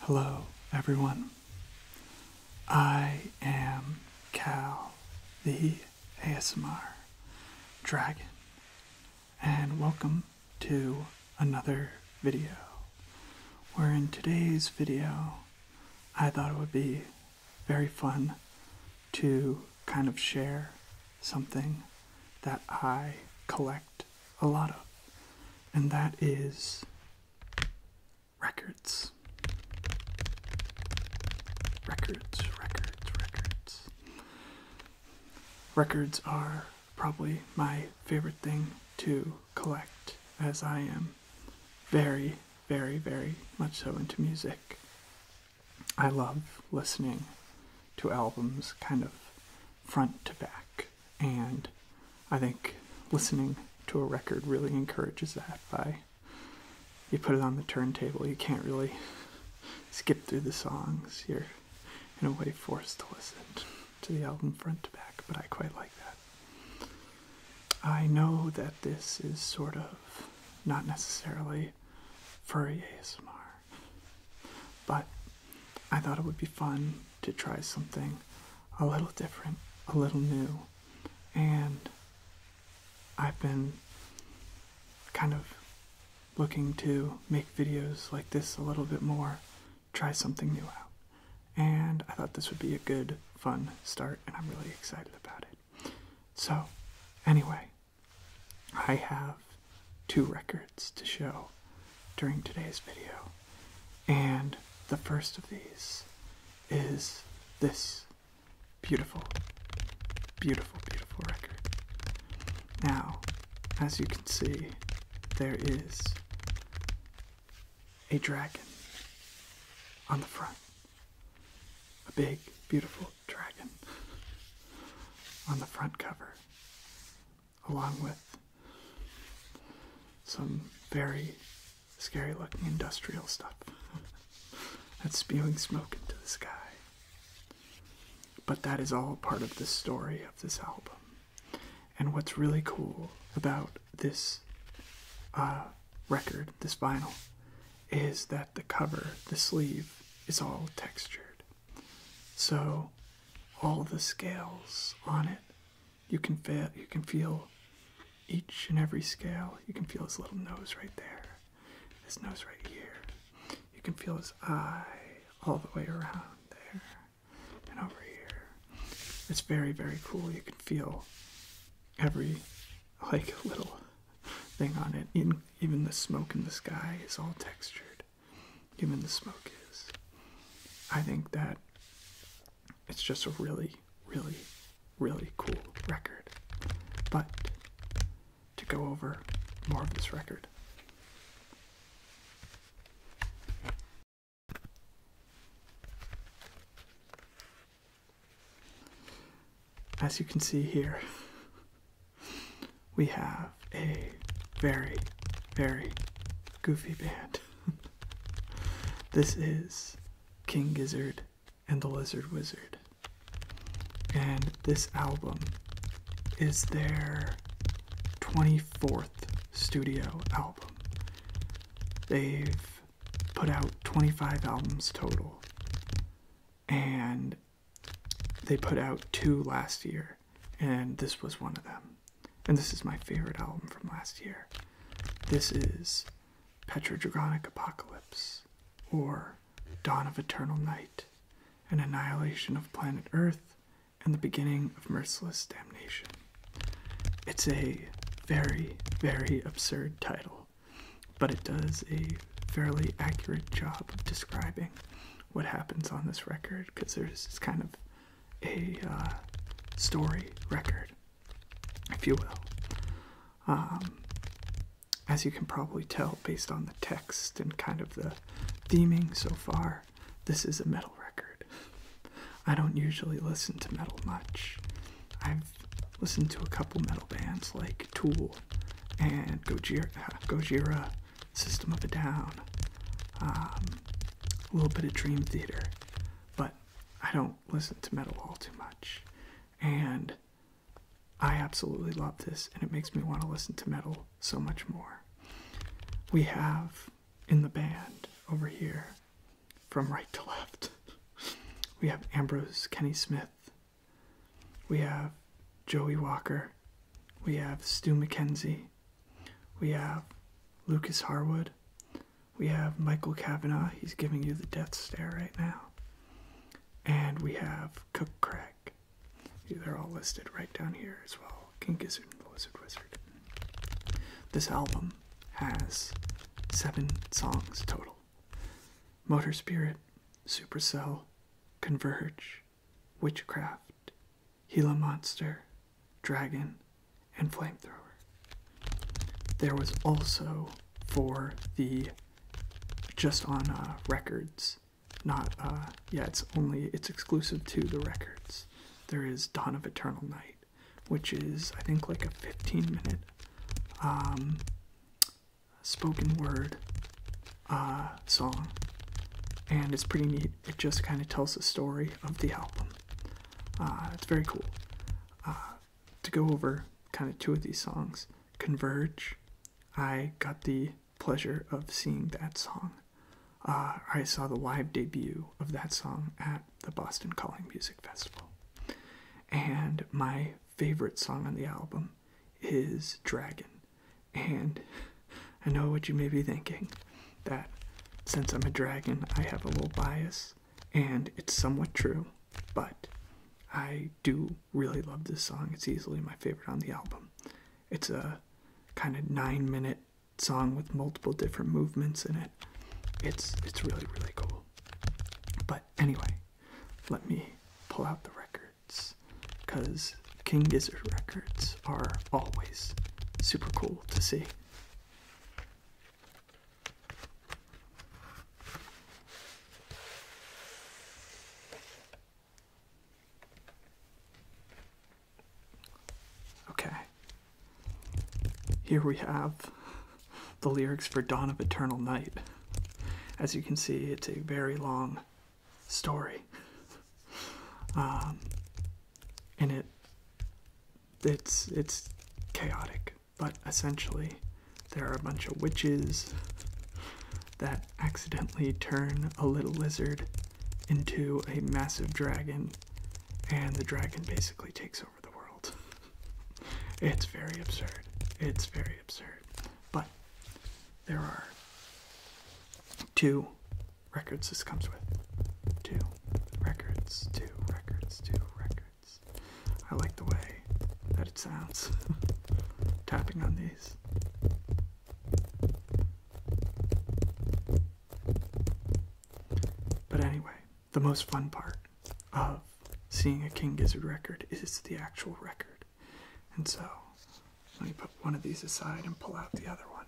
Hello, everyone. I am Cal, the ASMR Dragon, and welcome to another video. Where in today's video, I thought it would be very fun to kind of share something that I collect a lot of, and that is records. Records, records, records. Records are probably my favorite thing to collect, as I am very, very, very much so into music. I love listening to albums kind of front to back. And I think listening to a record really encourages that by you put it on the turntable, you can't really skip through the songs. You're in a way forced to listen to the album front to back, but I quite like that. I know that this is sort of not necessarily furry ASMR. But I thought it would be fun to try something a little different, a little new, and I've been kind of looking to make videos like this a little bit more, try something new out. And I thought this would be a good, fun start, and I'm really excited about it. So, anyway, I have two records to show during today's video, and the first of these is this beautiful, beautiful, beautiful record. Now, as you can see, there is a dragon on the front. A big, beautiful dragon on the front cover along with some very scary looking industrial stuff that's spewing smoke into the sky. But that is all part of the story of this album. And what's really cool about this uh, record, this vinyl, is that the cover, the sleeve, is all textured. So all the scales on it, you can feel you can feel each and every scale. You can feel his little nose right there, his nose right here. You can feel his eye all the way around there and over here. It's very, very cool. You can feel every like little thing on it. Even, even the smoke in the sky is all textured given the smoke is. I think that it's just a really, really, really cool record. But to go over more of this record, as you can see here, we have a very, very goofy band. this is King Gizzard and the Lizard Wizard. And this album is their 24th studio album. They've put out 25 albums total and they put out two last year, and this was one of them. And this is my favorite album from last year. This is Petrodragonic Apocalypse, or Dawn of Eternal Night, an annihilation of planet Earth, and the beginning of merciless damnation. It's a very, very absurd title, but it does a fairly accurate job of describing what happens on this record because there's kind of a uh, story record, if you will. Um, as you can probably tell based on the text and kind of the theming so far, this is a metal record. I don't usually listen to metal much. I've listened to a couple metal bands like Tool and Gojira System of a Down, um, a little bit of Dream Theater, but I don't listen to metal all too much, and I absolutely love this, and it makes me want to listen to metal so much more. We have in the band over here, from right to left, we have Ambrose Kenny Smith, we have Joey Walker. We have Stu McKenzie. We have Lucas Harwood. We have Michael Kavanaugh. He's giving you the death stare right now. And we have Cook Craig. They're all listed right down here as well. King Gizzard and the Lizard Wizard. This album has seven songs total Motor Spirit, Supercell, Converge, witchcraft, Gila monster, dragon, and flamethrower. There was also for the just on uh, records, not uh, yeah, it's only it's exclusive to the records. There is Dawn of Eternal Night, which is I think like a 15 minute um, spoken word uh, song, and it's pretty neat. It just kind of tells the story of the album. Uh, it's very cool. Uh, to go over kind of two of these songs, Converge, I got the pleasure of seeing that song. Uh, I saw the live debut of that song at the Boston Calling Music Festival. And my favorite song on the album is dragon. And I know what you may be thinking that since I'm a dragon, I have a little bias, and it's somewhat true, but I do really love this song. It's easily my favorite on the album. It's a kind of nine minute song with multiple different movements in it. It's it's really really cool. But anyway, let me pull out the record because King Gizzard records are always super cool to see. Okay. Here we have the lyrics for Dawn of Eternal Night. As you can see, it's a very long story. Um, and it it's it's chaotic, but essentially there are a bunch of witches that accidentally turn a little lizard into a massive dragon, and the dragon basically takes over the world. It's very absurd. It's very absurd. But there are two records this comes with. Two records, two records, two records. I like the way that it sounds tapping on these. But anyway, the most fun part of seeing a King Gizzard record is the actual record. And so, let me put one of these aside and pull out the other one.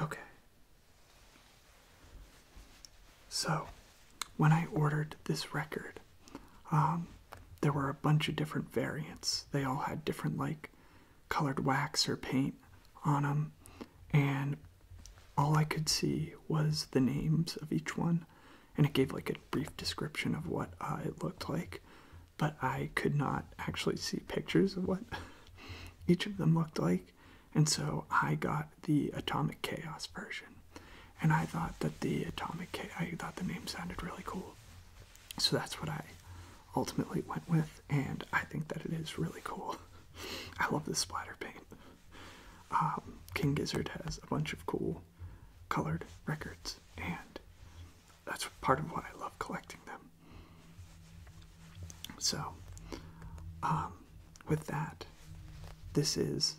Okay. So, when I ordered this record, um, there were a bunch of different variants. They all had different, like, colored wax or paint on them, and all I could see was the names of each one, and it gave like a brief description of what uh, it looked like, but I could not actually see pictures of what each of them looked like, and so I got the Atomic Chaos version and I thought that the atomic K, I thought the name sounded really cool, so that's what I ultimately went with, and I think that it is really cool. I love this splatter paint. Um, King Gizzard has a bunch of cool colored records, and that's part of why I love collecting them. So, um, with that, this is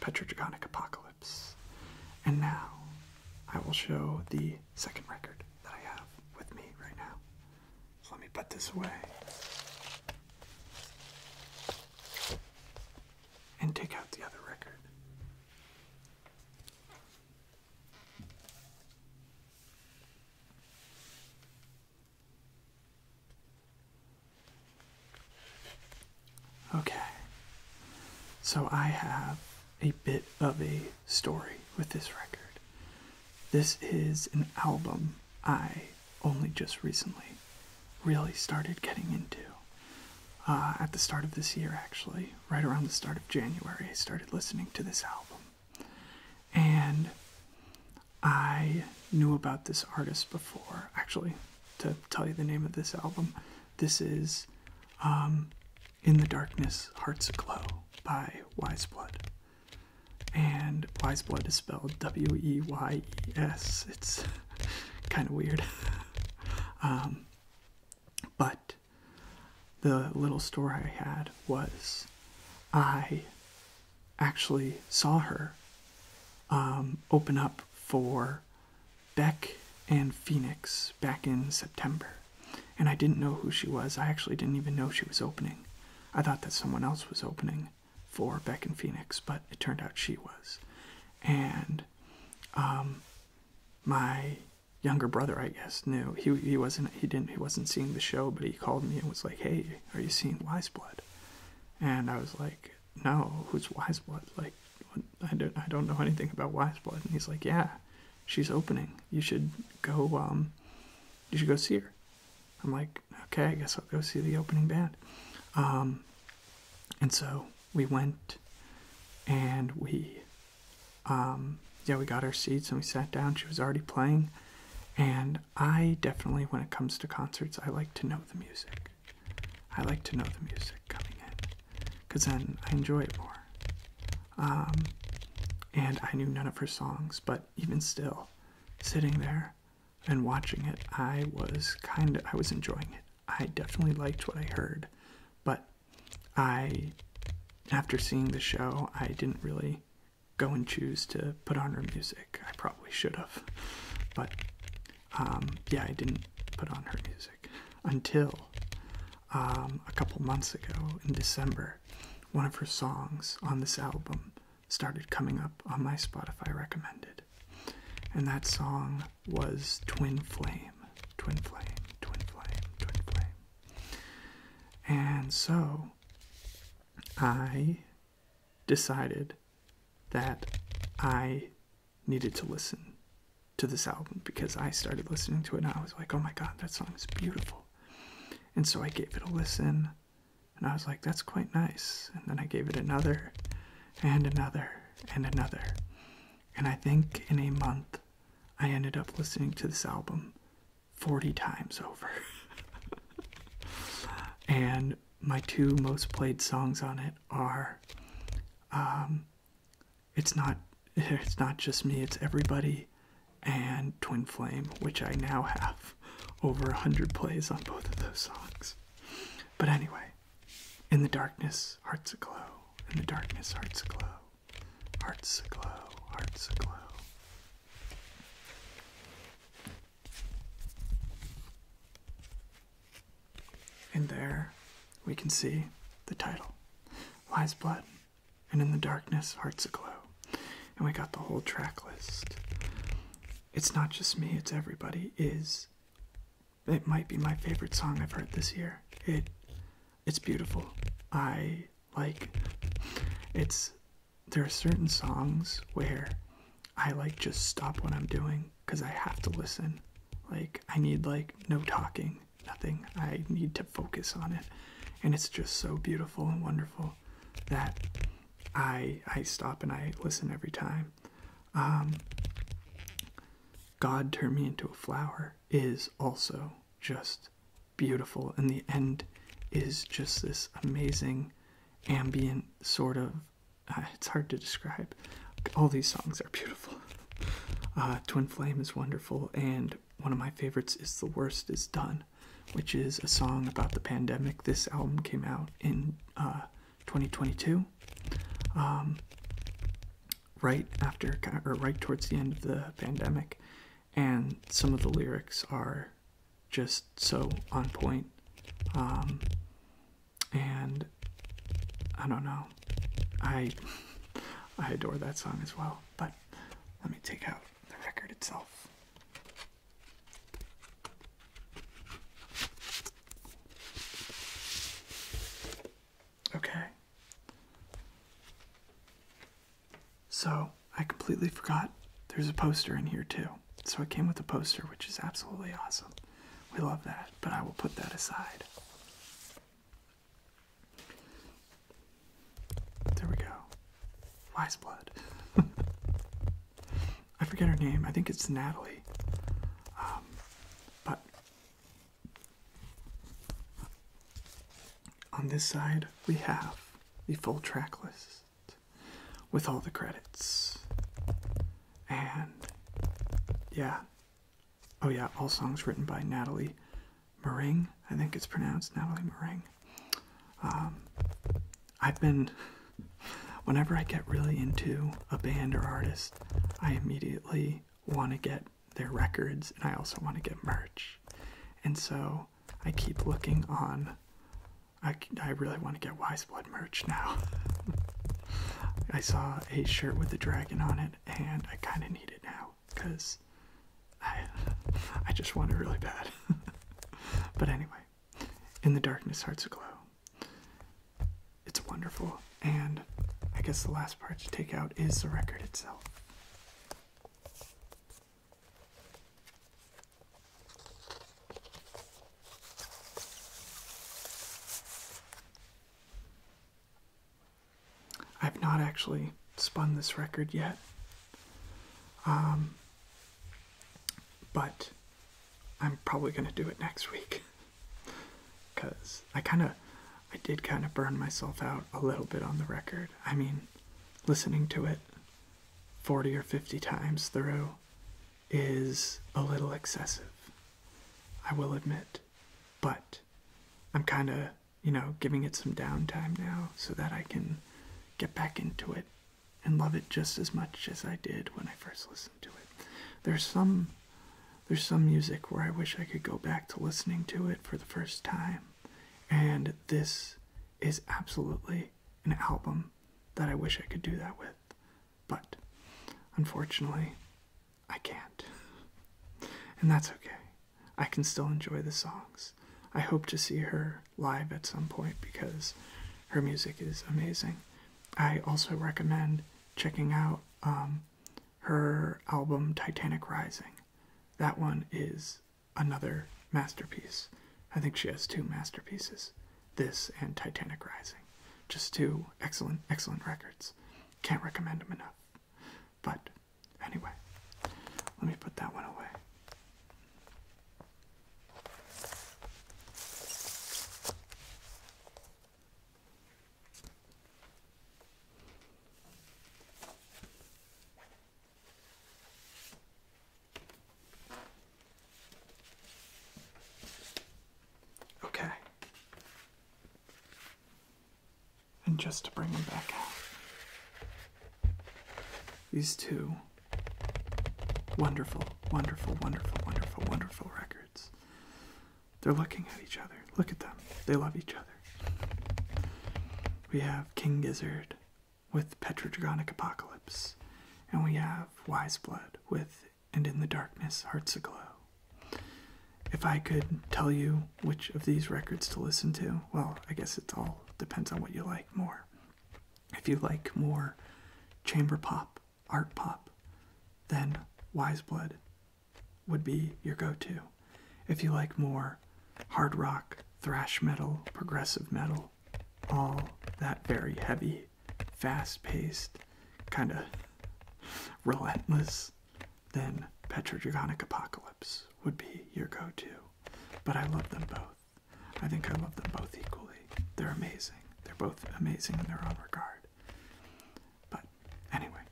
Petrodragonic Apocalypse. And now I will show the second record that I have with me right now. So let me put this away and take out the other record. Okay. So I have a bit of a story with this record. This is an album I only just recently really started getting into. Uh, at the start of this year, actually, right around the start of January, I started listening to this album. And I knew about this artist before. Actually, to tell you the name of this album, this is um, In the Darkness, Hearts Glow by Wiseblood. And Wiseblood is spelled W E Y E S. It's kind of weird. Um, but the little story I had was I actually saw her um, open up for Beck and Phoenix back in September, and I didn't know who she was. I actually didn't even know she was opening. I thought that someone else was opening for Beck and Phoenix, but it turned out she was. And um, my younger brother, I guess, knew he he wasn't he didn't he wasn't seeing the show, but he called me and was like, "Hey, are you seeing Wise Blood?" And I was like, no, who's Wiseblood? Like, I don't, I don't know anything about Wiseblood. And he's like, yeah, she's opening. You should go, um, you should go see her. I'm like, okay, I guess I'll go see the opening band. Um, and so we went and we, um, yeah, we got our seats and we sat down. She was already playing. And I definitely, when it comes to concerts, I like to know the music. I like to know the music coming in because then I enjoy it more. Um, and I knew none of her songs, but even still, sitting there and watching it, I was kind of I was enjoying it. I definitely liked what I heard, but I after seeing the show, I didn't really go and choose to put on her music. I probably should have, but um, yeah, I didn't put on her music until um, a couple months ago in December. One of her songs on this album started coming up on my Spotify recommended, and that song was Twin Flame, Twin Flame, Twin Flame, Twin Flame. And so I decided that I needed to listen to this album because I started listening to it and I was like, oh my god, that song is beautiful. And so I gave it a listen and I was like, that's quite nice. And then I gave it another and another and another. And I think in a month, I ended up listening to this album 40 times over. and my two most played songs on it are um, it's not it's not just me, it's everybody and Twin Flame, which I now have over a hundred plays on both of those songs. But anyway, in the darkness, hearts aglow. In the darkness, hearts aglow. Hearts aglow, hearts aglow. And there we can see the title Lies Blood, and in the darkness, Hearts Aglow. And we got the whole track list. It's not just me, it's everybody. Is it might be my favorite song I've heard this year. It it's beautiful. I like it's there are certain songs where I like just stop what I'm doing because I have to listen like, I need, like, no talking, nothing. I need to focus on it. And it's just so beautiful and wonderful that I, I stop and I listen every time. Um, God turned me into a flower is also just beautiful. And the end is just this amazing ambient sort of uh, it's hard to describe. All these songs are beautiful. Uh, Twin Flame is wonderful, and one of my favorites is The Worst Is Done, which is a song about the pandemic. This album came out in uh, 2022, um, right after or right towards the end of the pandemic, and some of the lyrics are just so on point. Um, and I don't know. I I adore that song as well. But let me take out the record itself. Okay. So, I completely forgot there's a poster in here too. So, I came with a poster, which is absolutely awesome. We love that, but I will put that aside. There we go. Wise blood. I forget her name. I think it's Natalie. Um, but on this side, we have the full track list with all the credits. And yeah, Oh yeah, all songs written by Natalie Mering. I think it's pronounced Natalie Mering. Um, I've been, whenever I get really into a band or artist, I immediately want to get their records and I also want to get merch. And so I keep looking on, I, I really want to get Wise Blood merch now. I saw a shirt with a dragon on it, and I kind of need it now because I, I just want it really bad. but anyway, in the darkness, hearts glow. It's wonderful, and I guess the last part to take out is the record itself. I've not actually spun this record yet. Um, but I'm probably going to do it next week. Because I kind of, I did kind of burn myself out a little bit on the record. I mean, listening to it 40 or 50 times through is a little excessive. I will admit but I'm kind of, you know, giving it some downtime now so that I can get back into it and love it just as much as I did when I first listened to it. There's some there's some music where I wish I could go back to listening to it for the first time. And this is absolutely an album that I wish I could do that with. But unfortunately, I can't. And that's okay. I can still enjoy the songs. I hope to see her live at some point because her music is amazing. I also recommend checking out um, her album Titanic Rising. That one is another masterpiece. I think she has two masterpieces this and Titanic Rising. Just two excellent, excellent records. Can't recommend him enough. But anyway, let me put that one away. Okay. And just to bring them back out. These two wonderful, wonderful, wonderful, wonderful, wonderful records. They're looking at each other. Look at them. They love each other. We have King Gizzard with Petrodragonic Apocalypse, and we have Wise Blood with and in the darkness, hearts aglow. If I could tell you which of these records to listen to, well, I guess it all depends on what you like more. If you like more chamber pop, art pop, then Wise Blood would be your go to. If you like more hard rock, thrash metal, progressive metal, all that very heavy fast paced, kind of relentless, then Petrodragonic Apocalypse would be your go to. But I love them both. I think I love them both equally. They're amazing. They're both amazing in their own regard. But anyway,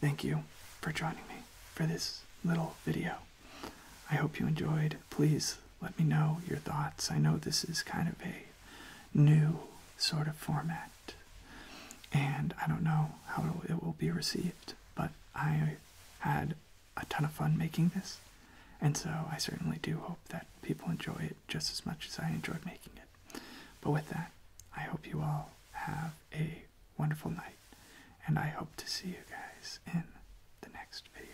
thank you for joining me for this little video. I hope you enjoyed. Please let me know your thoughts. I know this is kind of a new sort of format. And I don't know how it will be received, but I had a ton of fun making this. And so I certainly do hope that people enjoy it just as much as I enjoyed making it. But with that, I hope you all have a wonderful night, and I hope to see you guys in the next video.